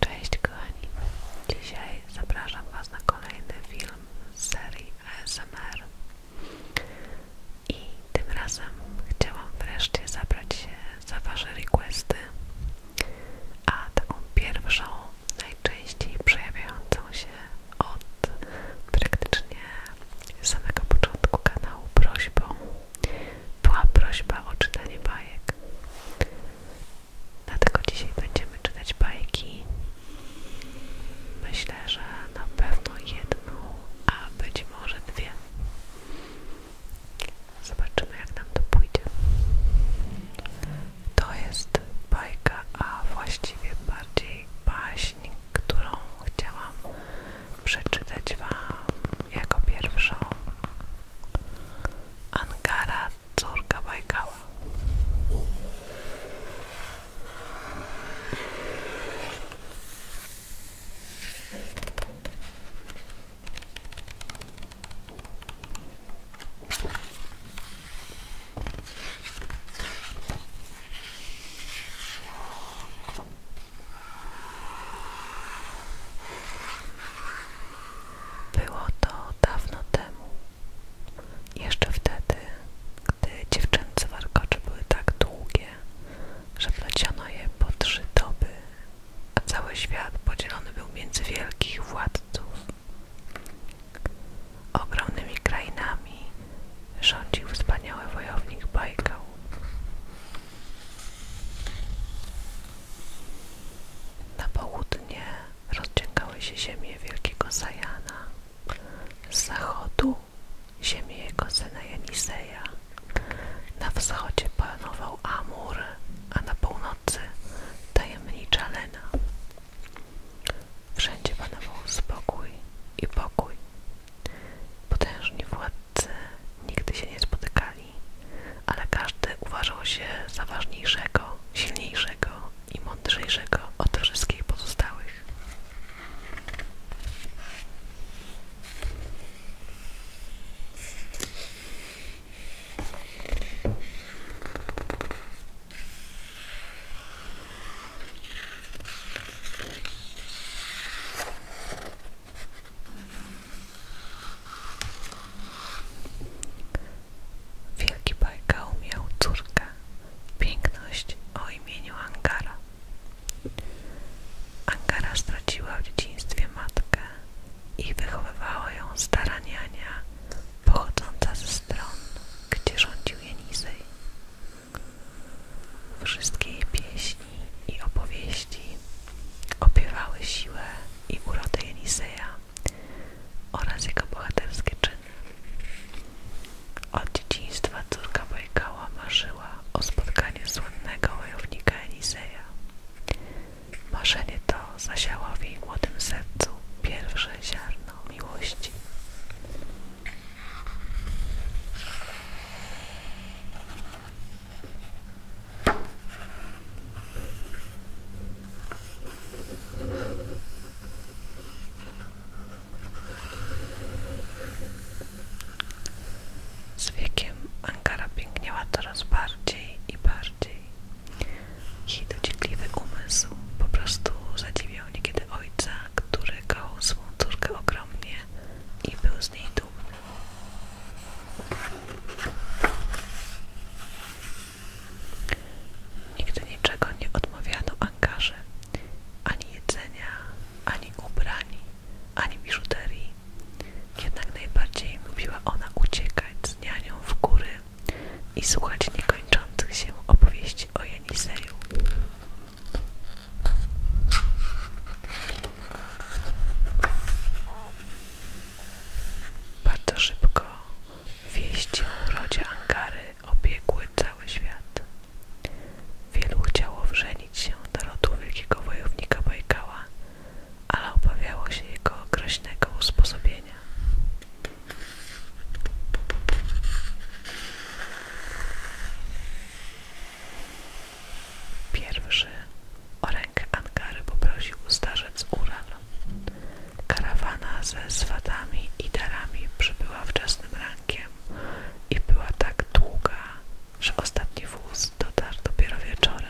Cześć kochani, dzisiaj zapraszam Was na kolejny film z serii ASMR i tym razem chciałam wreszcie zabrać się za Wasze requesty, a taką pierwszą, najczęściej przejawiającą się od praktycznie z samego początku kanału prośbą była prośba o czytanie bajek. Dlatego dzisiaj będziemy czytać bajki. Myślę, że na pewno jedną, a być może dwie. Zobaczymy, jak nam to pójdzie. To jest bajka, a właściwie bardziej baśń, którą chciałam przeczytać Wam jako pierwszą Angara Córka Bajkała. Było to dawno temu, jeszcze wtedy, gdy dziewczęce warkocze były tak długie, że pleciono je po trzy doby, a cały świat podzielony był między wielkich władców. Ogromnymi krainami Rządził wspaniały wojownik Bajkał. Na południe rozciągały się ziemie wielkiego Sajana, z zachodu ziemie jego syna Jeniseja. Na wschodzie panował Amur, a na północy tajemnicza Lena. Wszędzie panował spokój i pokój Potężni władcy nigdy się nie spotykali, ale każdy uważał się za ważniejszego, silniejszego i mądrzejszego od wszystkich pozostałych. Wielki bajka umiał córkę, piękność o imieniu Angara. Angara straciła w dzieciństwie matkę i wychowywała ją staraniania pochodząca ze stron, gdzie rządził Jenizej. Wszystkie jej pieśni i opowieści opiewały siłę i urodę Eliseja oraz jego bohaterskie czyny. Od dzieciństwa córka Bajkała marzyła o spotkaniu słynnego wojownika Eliseja. Marzenie to zasiało w jej młodym sercu pierwsze ziarno miłości. Z wiekiem Ankara piękniała coraz bardziej i bardziej. Jej dociekliwy umysł po prostu zadziwiał niekiedy ojca które kochał swą córkę ogromnie i był z niej dumny. Nigdy niczego nie odmawiano ankarze, ani jedzenia, ani ubrań, ani biżuterii. Jednak najbardziej lubiła ona uciekać z nianią w góry i słuchać niekończących się opowieści o Janiseju. Bardzo szybko wieści o urodzie Angary obiegły cały świat. Wielu chciało wrzenić się do rodu wielkiego wojownika Bajkała, ale obawiało się jego groźnego usposobienia. Pierwszy o rękę Angary poprosił starzec Ural. Karawana ze swatami i darami przybyła wczesnym rankiem i była tak długa, że ostatni wóz dotarł dopiero wieczorem.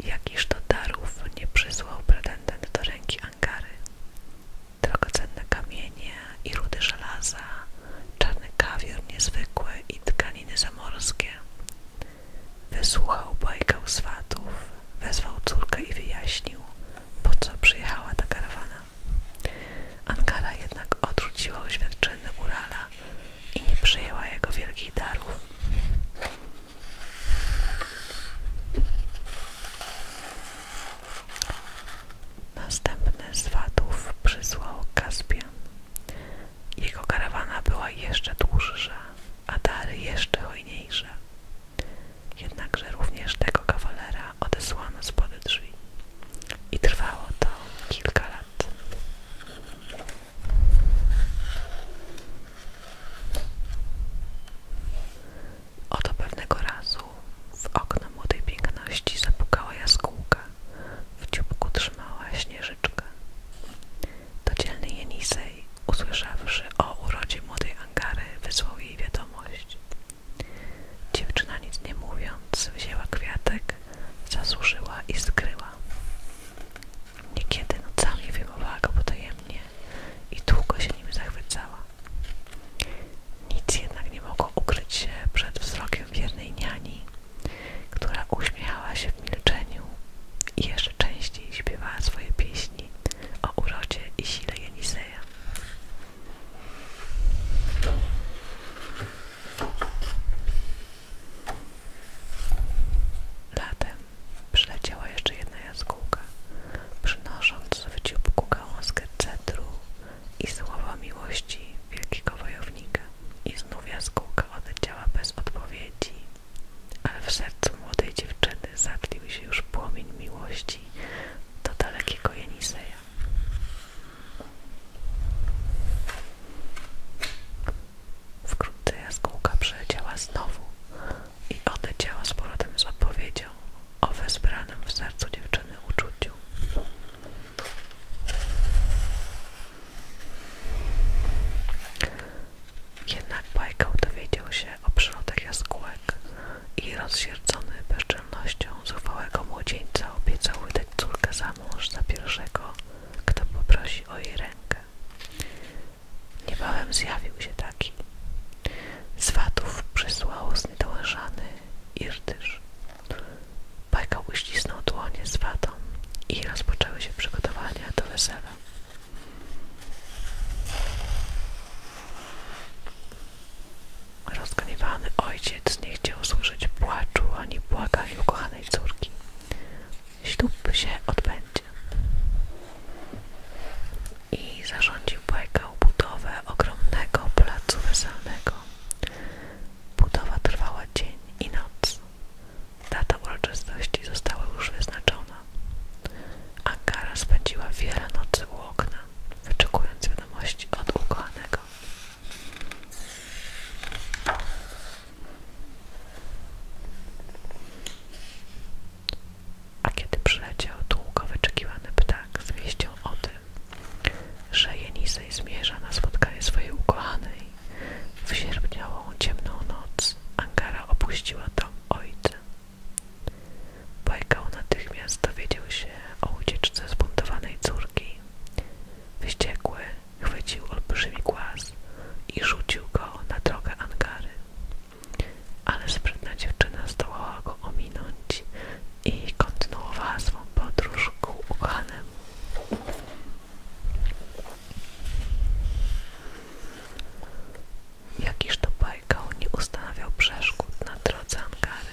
Jakiż to darów nie przysłał pretendent do ręki Angary. Drogocenne kamienie i rudy żelaza, czarny kawior niezwykły i tkaniny zamorskie. Wysłuchał bajkę swatów, wezwał córkę i wyjaśnił, po co przyjechała ta karawana. Angara jednak odrzuciła oświadczyny Urala, i nie przyjęła jego wielkich darów. Następny z wadów przysłał Kaspian. Jego karawana była jeszcze dłuższa, a dary jeszcze hojniejsze. Jednakże również tego kawalera odesłano spod drzwi. I trwało to kilka lat that. Oto pewnego razu w okno młodej piękności zapukała jaskółka. W dzióbku trzymała śnieżyczkę. To dzielny Jenisej, usłyszawszy o urodzie młodej Angary, wysłał jej wiadomość. Dziewczyna nic nie mówiąc wzięła kwiatek Zasuszyła i skryła. Niekiedy nocami wyjmowała go potajemnie i długo się nim zachwycała. Nic jednak nie mogło ukryć się przed wzrokiem wiernej niani, która uśmiechała się w milczeniu i jeszcze częściej śpiewała swoje pieśni o urodzie i sile Jeniseja. Latem przyleciała jeszcze jedna jaskółka, przynosząc w dzióbku gałązkę cedru i słowa miłości wielkiego wojownika. I znów jaskółka odleciała bez odpowiedzi, ale w sercu młodej dziewczyny zatlił się już płomień miłości do dalekiego Jeniseja. Wkrótce jaskółka przeleciała znowu i odleciała z powrotem z odpowiedzią o wezbranym w sercu dziewczyny uczuciu. Jednak Bajkał dowiedział się o przyrodach jaskółek i rozsierdzony bezczelnością zuchwałego młodzieńca obiecał wydać córkę za a mąż za pierwszego, kto poprosi o jej rękę. Niebawem zjawił się taki. Z watów przysłał zniedołężany Irtysz. Bajka uścisnął dłonie z i rozpoczęły się przygotowania do wesela. Rozgniewany ojciec nie chciał usłyszeć płaczu ani błagań ukochanej córki. Ślub się odbędzie. I zarządził błekał budowę ogromnego placu weselnego. Budowa trwała dzień i noc. Data uroczystości została już wyznaczona. Ankara spędziła wiele nocy u okna, wyczekując wiadomości od ukochanego. A kiedy przyleciał długo wyczekiwany ptak z wieścią o tym, że Jenisej zmierza na spotkanie swojej ukochanej, w sierpniową ciemną noc Angara opuściła dom ojca. Bajkał natychmiast dowiedział się o ucieczce zbuntowanej córki ziemi. Wściekły chwycił olbrzymi głaz i rzucił go na drogę angary. Ale sprytna dziewczyna zdołała go ominąć i kontynuowała swą podróż ku ukochanemu. Jakiż to bajkał nie ustanawiał przeszkód na drodze angary.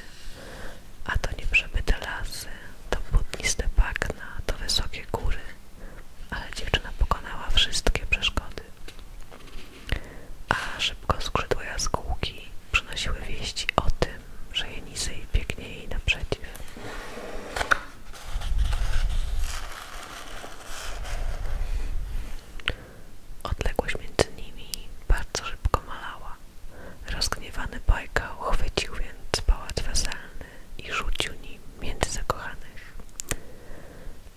A to nieprzebyte lasy, to płótniste bagna, to wysokie góry. Ale dziewczyna pokonała wszystkie przeszkody. A szybko skrzydła jaskółki przynosiły wieści o tym, że Jenizej biegnie jej naprzeciw. Odległość między nimi bardzo szybko malała. Rozgniewany Bajkał chwycił więc pałac weselny i rzucił nim między zakochanych.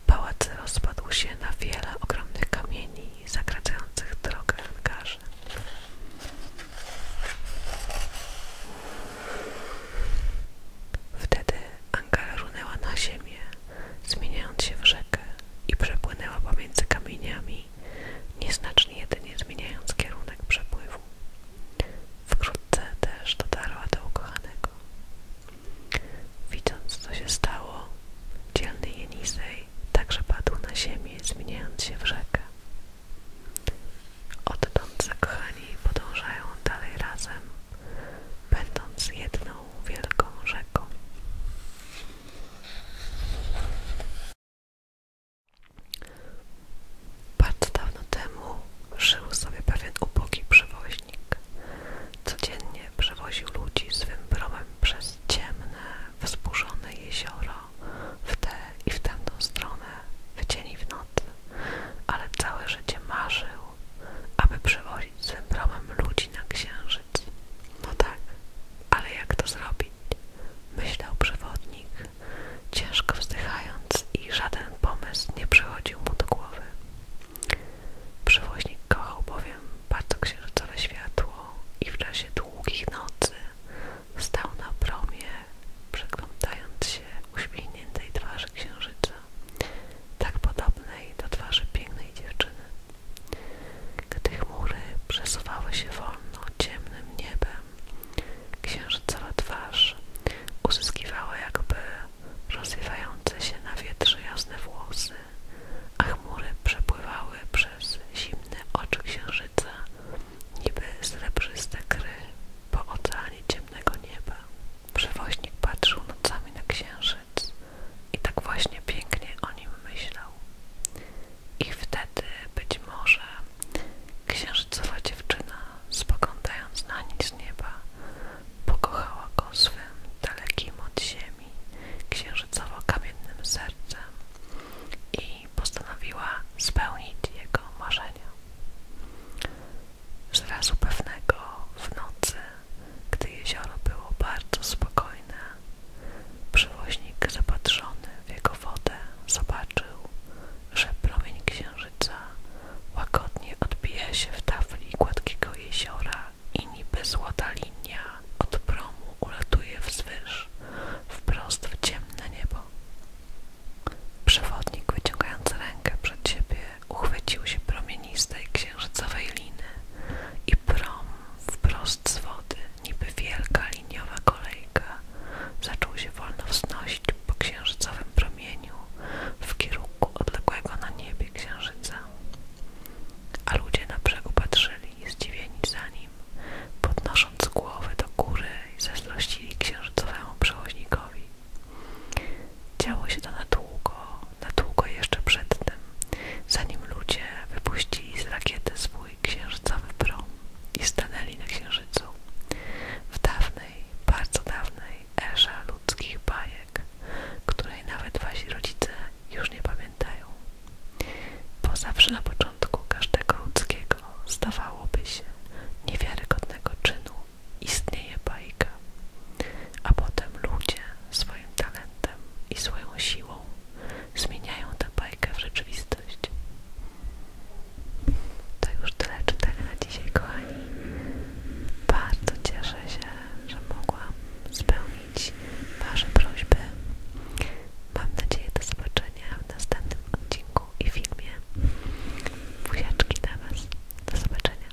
Pałac rozpadł się na wiele ogromnych kamieni zagradzających drogę angarzy. Wtedy Angara runęła na ziemię, zmieniając się w rzekę i przepłynęła pomiędzy kamieniami wcześniej, nieznacznie jedynie zmieniając kierunek przepływu. Wkrótce też dotarła do ukochanego. Widząc, co się stało, dzielny Jenisej także padł na ziemię, zmieniając się w rzekę. Odtąd zakochani podążają dalej razem, będąc jedną wielką rzeką. Bardzo dawno temu żył sobie pewien ubogi przewoźnik. Codziennie przewoził ludzi z promem przez ciemne, wzburzone jezioro w tę i w tamtą stronę, w dzień i w nocy, ale całe życie marzył, aby przewozić z promem ludzi na księżyc. No tak, ale jak to zrobić? Myślał przewodnik, ciężko wzdychając i żaden pomysł nie przychodził mu do głowy. Przewoźnik kochał bowiem bardzo księżycowe światło i w czasie długich nocy stał na promie, przeglądając się uśmiechniętej twarzy księżyca, tak podobnej do twarzy pięknej dziewczyny. Gdy chmury przesuwały się wolno ciemnym niebem, księżycowa twarz uzyskiwała jakby rozwiewające się na wietrze jasne włosy, a chmury przepływały przez zimne oczy księżyca, niby srebrzyste kry po oceanie ciemnego nieba. Przewoźnik patrzył nocami na księżyc, i tak właśnie pięknie o nim myślał. I wtedy być może księżycowa dziewczyna, spoglądając na nic nieba, pokochała go swym dalekim od ziemi, księżycowo-kamiennym sercem i postanowiła spełnić jego marzenia. Zrazu pewnego w nocy gdy jezioro było bardzo spokojne, przewoźnik zapatrzony w jego wodę zobaczył, że promień księżyca łagodnie odbija się w tafli gładkiego jeziora i niby złota linia od promu ulatuje wzwyż, wprost w ciemne niebo. Przewodnik wyciągając rękę przed siebie uchwycił się promienistej księżycowej liny i i prom wprost z wody, niby wielka liniowa kolejka, zaczął się wolno wznosić po księżycowym promieniu w kierunku odległego na niebie księżyca. A ludzie na brzegu patrzyli, zdziwieni za nim, podnosząc głowy do góry i zazdrościli księżycowemu przewoźnikowi. Działo się to na długo, na długo jeszcze przed tym, zanim ludzie wypuścili z rakiety swój księżycowy prom i stanęli na księżycu. W dawnej, bardzo dawnej erze ludzkich bajek, której nawet wasi rodzice już nie pamiętają. Bo zawsze na początku każdego ludzkiego stawałoby się niewiarygodnego czynu istnieje bajka, a potem ludzie swoim talentem i swoją siłą zmieniają tę bajkę w rzeczywistość. To już tyle czytań na dzisiaj, kochani. Bardzo cieszę się, że mogłam spełnić Wasze prośby. Mam nadzieję do zobaczenia w następnym odcinku i filmie. Buziaczki na Was. Do zobaczenia.